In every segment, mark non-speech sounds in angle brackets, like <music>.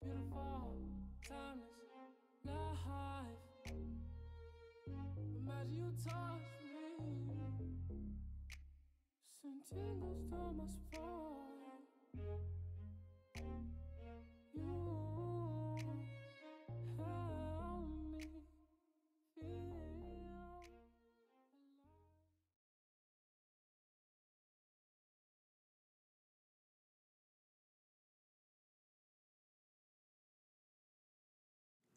Beautiful, timeless, life. Imagine you touch me. Send tingles to my spine. You help me feel alive.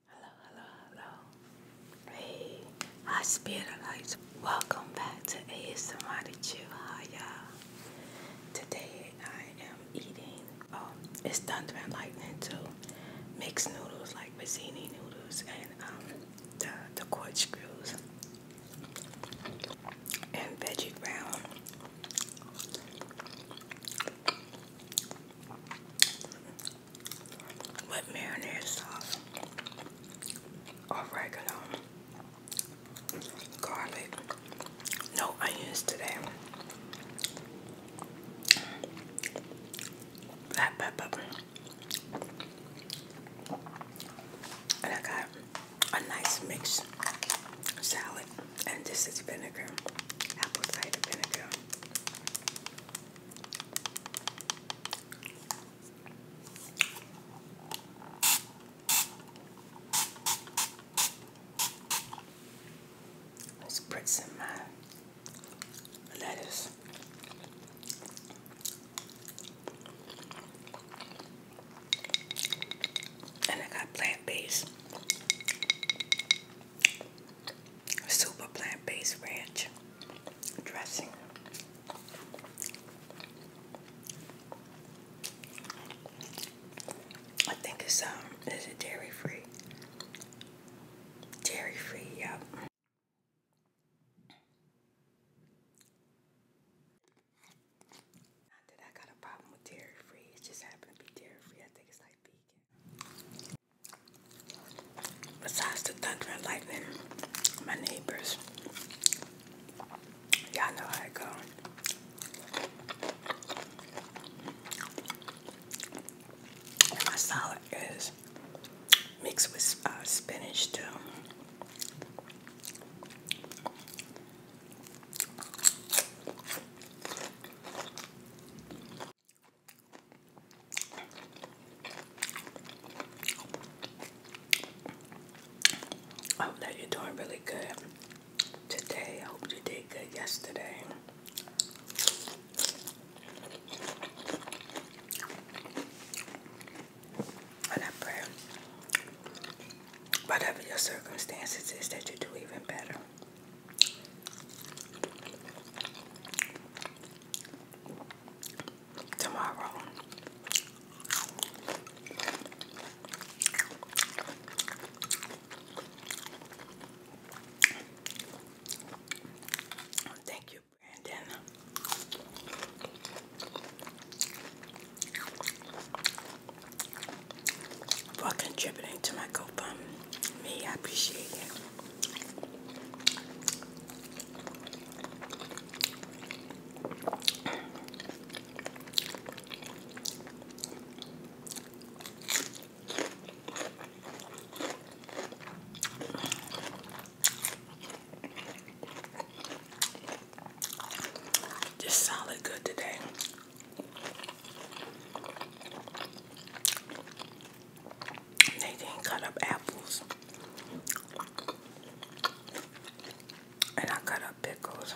Hello, hello, hello. Hey, hospitalized. Welcome back to ASMR to Chill. Hi, y'all. Today I am eating, um, it's Thunder and Lightning too. Mixed noodles like Mazzini noodles and um, the, the screws and veggie brown. But marinara sauce, oregano, garlic, no onions today, black pepper, and I got a nice mixed salad, and this is vinegar, apple cider vinegar. Let's put some uh, lettuce. And I got plant-based. Super plant-based ranch dressing. I think it's um is it dairy free? Dairy free, yep. Not that I got a problem with dairy free, it just happened to be dairy free. I think it's like vegan. Besides the thunder and lightning, my neighbors, y'all know how it go. my salad is mixed with uh, spinach too. I hope that you're doing really good today. I hope you did good yesterday. And I pray, whatever your circumstances is, that you do even better tomorrow. Thank you, Brandon for contributing to my GoFundMe. I appreciate it. Just solid good today. They didn't cut up apples. And I cut up pickles.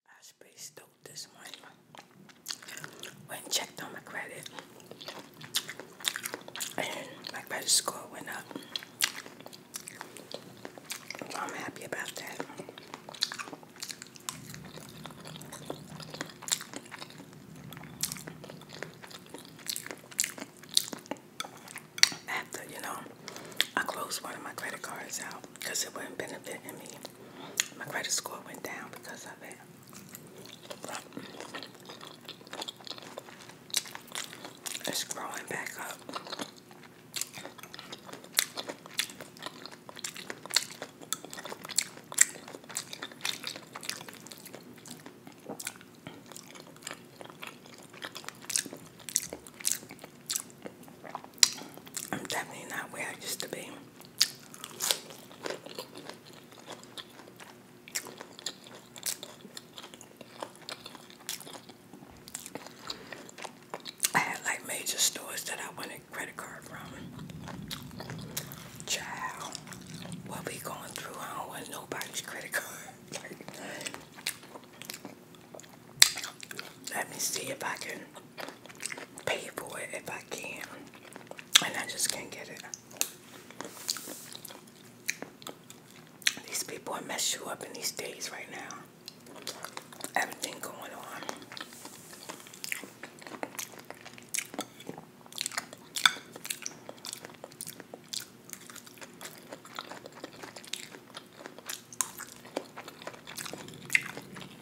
I was pretty stoked this morning. Went and checked on my credit. And my credit score went up. So I'm happy about that. After, you know, I closed one of my credit cards out because it wasn't benefiting me. My credit score went down because of it. it's growing back up. I'm definitely not where I used to be. I had like major stores that I wanted credit card from. Child, what we going through, I don't want nobody's credit card. <laughs> let me see if I can pay for it if I can, and I just can't get it. These people are messing you up in these days right now. Everything going on.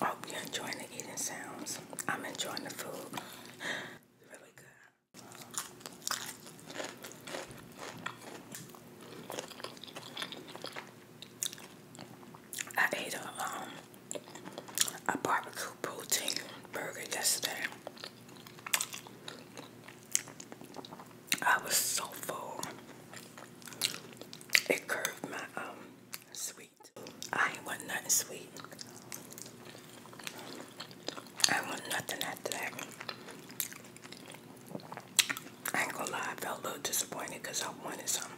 I hope you're enjoying the eating sounds. I'm enjoying the food. It's <sighs> really good. I ate a um a barbecue protein burger yesterday. I was so full. It curved my um sweet I want nothing sweet. I want nothing after that. I ain't gonna lie, I felt a little disappointed because I wanted some.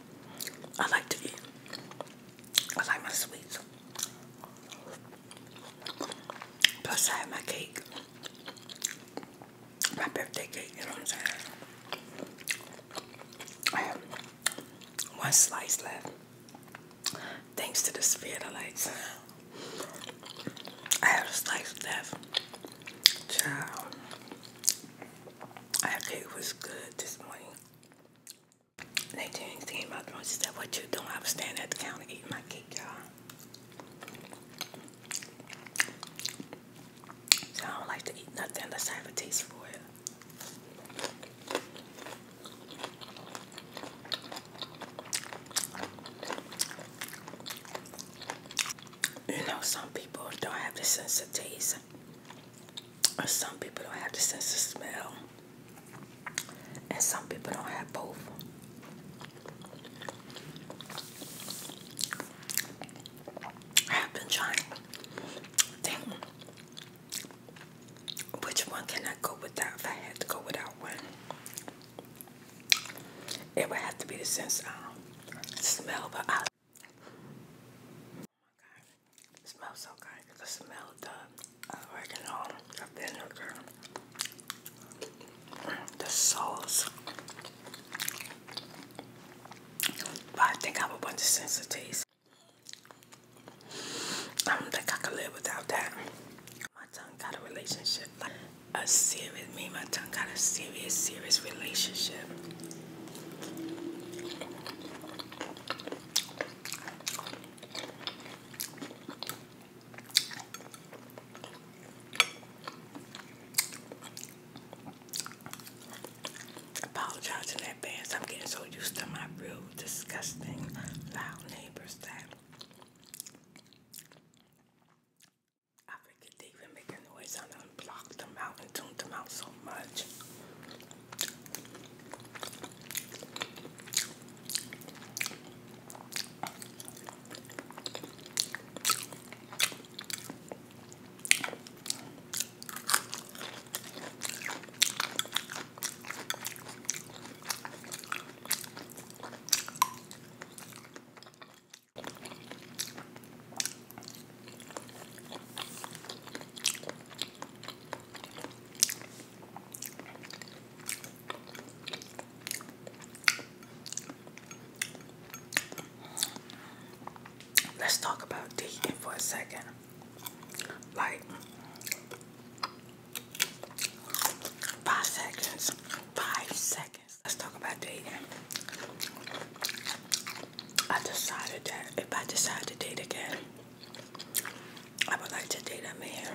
I like to eat. I like my sweets. Plus I have my cake. My birthday cake, you know what I'm saying? I have one slice left. Thanks to the spirit of lights. I have a slice of death. Child. That cake was good this morning. Next thing she came out the room, she said, what you doing? I was standing at the counter eating my cake, y'all. So I don't like to eat nothing unless I have a taste for it. You know, some people don't have the sense of taste, or some people don't have the sense of smell, and some people don't have both. I've been trying to which one can I go without if I had to go without one? It would have to be the sense um smell of olive. Oh so good. The smell of the oregano, the vinegar, the sauce. But I think I a bunch of sense of taste. I don't think I could live without that. My tongue got a relationship, like a serious, serious relationship apologize in advance. I'm getting so used to my real disgusting loud neighbors that I forget they even make a noise. I done blocked them out and tuned them out so much. Let's talk about Deacon for a second like five seconds. Five seconds. Let's talk about dating. I decided that if I decide to date again, I would like to date a man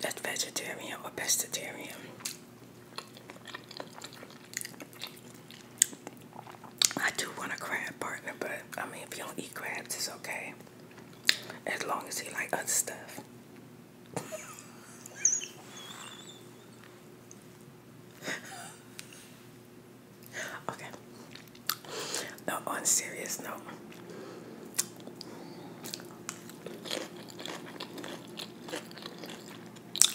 that's vegetarian or pescatarian. I do want a crab partner, but I mean, if you don't eat crabs, it's okay. As long as you like other stuff. <laughs> okay. No, on serious note.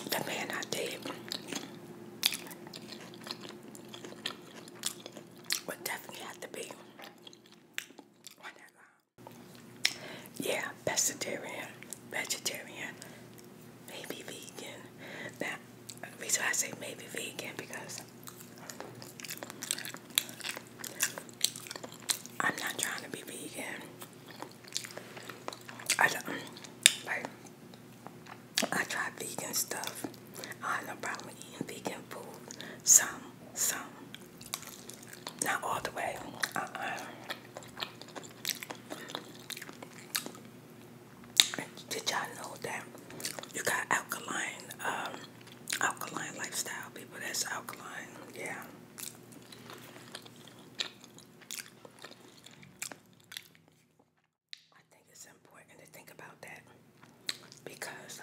The man I dated, would definitely have to be Yeah, pescatarian, vegetarian, maybe vegan. Now, the reason I say maybe vegan because I'm not trying to be vegan. I don't like I try vegan stuff. I have no problem eating vegan food. Some, some. Not all the way. Uh-uh. Did y'all know that you got alkaline, um, alkaline lifestyle people? That's alkaline, yeah. I think it's important to think about that because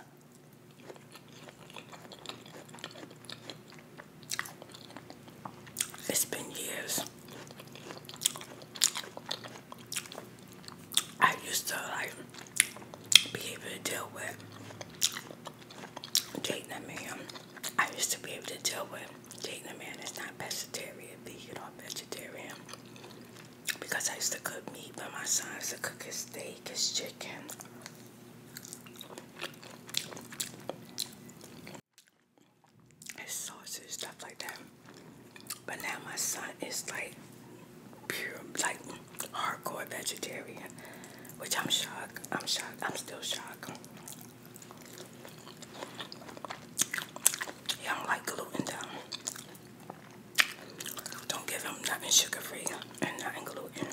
it's been years. I used to like be able to deal with dating a man. I used to be able to deal with dating a man It's not vegetarian, vegan or vegetarian because I used to cook meat, but my son used to cook his steak, his chicken. His sausages, stuff like that. But now my son is like pure, like hardcore vegetarian, which I'm shocked. I'm shocked. I'm still shocked. He don't like gluten though. Don't give him nothing sugar free and nothing gluten.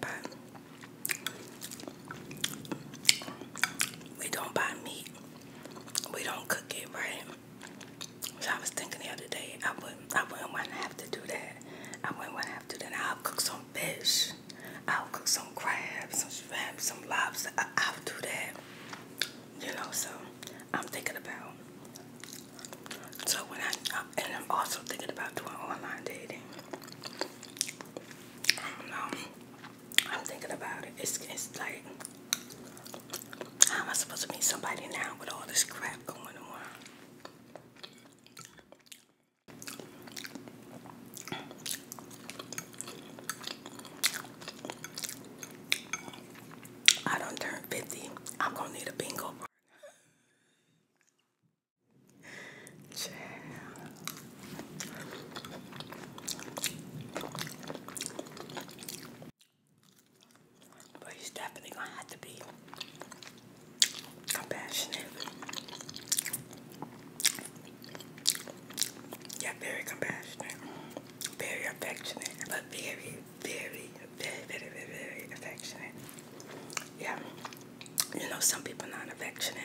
But we don't buy meat. We don't cook it right. So I was thinking the other day I wouldn't I wouldn't want to have to do that. I wouldn't want to after dinner, I'll cook some fish. I'll cook some crab, some shrimp, some lobster. I, will do that. You know, so I'm thinking about. So when I am and I'm also thinking about doing online dating. I I'm thinking about it. It's it's like how am I supposed to meet somebody now with all this crap going on? I don't turn 50. I'm gonna need a bingo partner. But he's definitely gonna have to be Compassionate. Yeah, very compassionate. Very affectionate. But very, very, very, very, very, affectionate. Yeah. You know, some people not affectionate.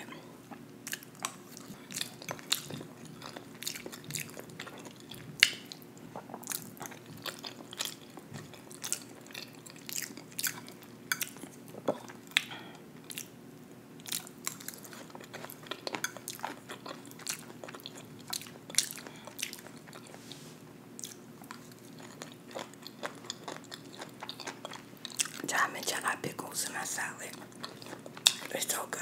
Time and jelly pickles in my salad. It's so good.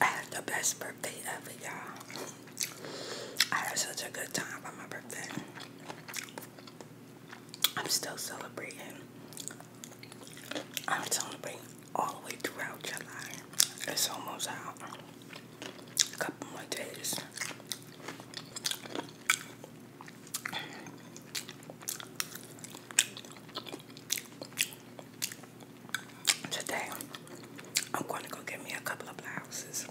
I had the best birthday ever, y'all. I had such a good time on my birthday. I'm still celebrating. I'm celebrating all the way throughout July. It's almost out. A couple more days. Today, I'm going to go get me a couple of blouses.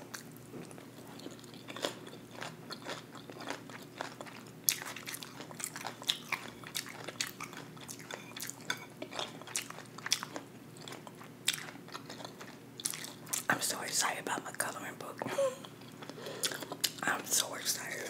I'm so excited about my coloring book. I'm so excited.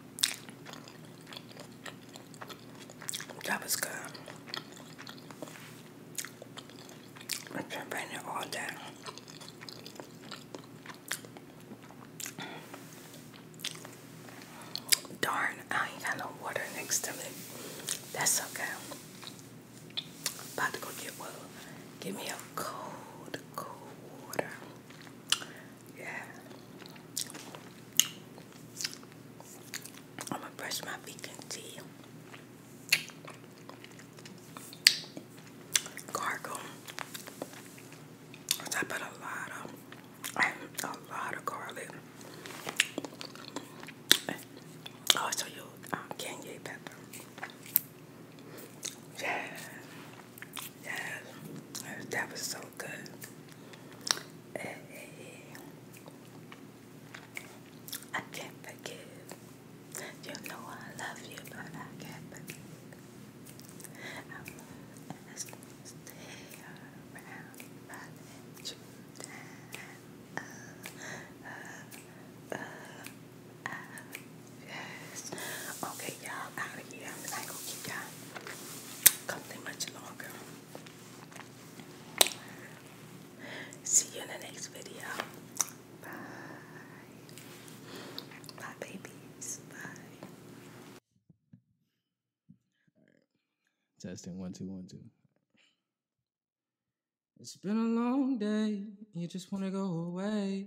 That was good. been writing all day. Darn, I got no water next to me. That's okay. about to go get well. Give me a cold, cold water. Yeah. I'm gonna brush my vegan tea. Gargle. I put a lot of a lot of garlic. Also, oh, you um, can pepper. Yeah, Yes, that was so good. I can't forgive. You know I love you, but I can't forgive. I won't to stay around, Yes. Okay, y'all, out of here. I ain't keep y'all company much longer. See you in the next video. Bye. Bye, babies. Bye. Testing one, two, one, two. It's been a long day. You just want to go away.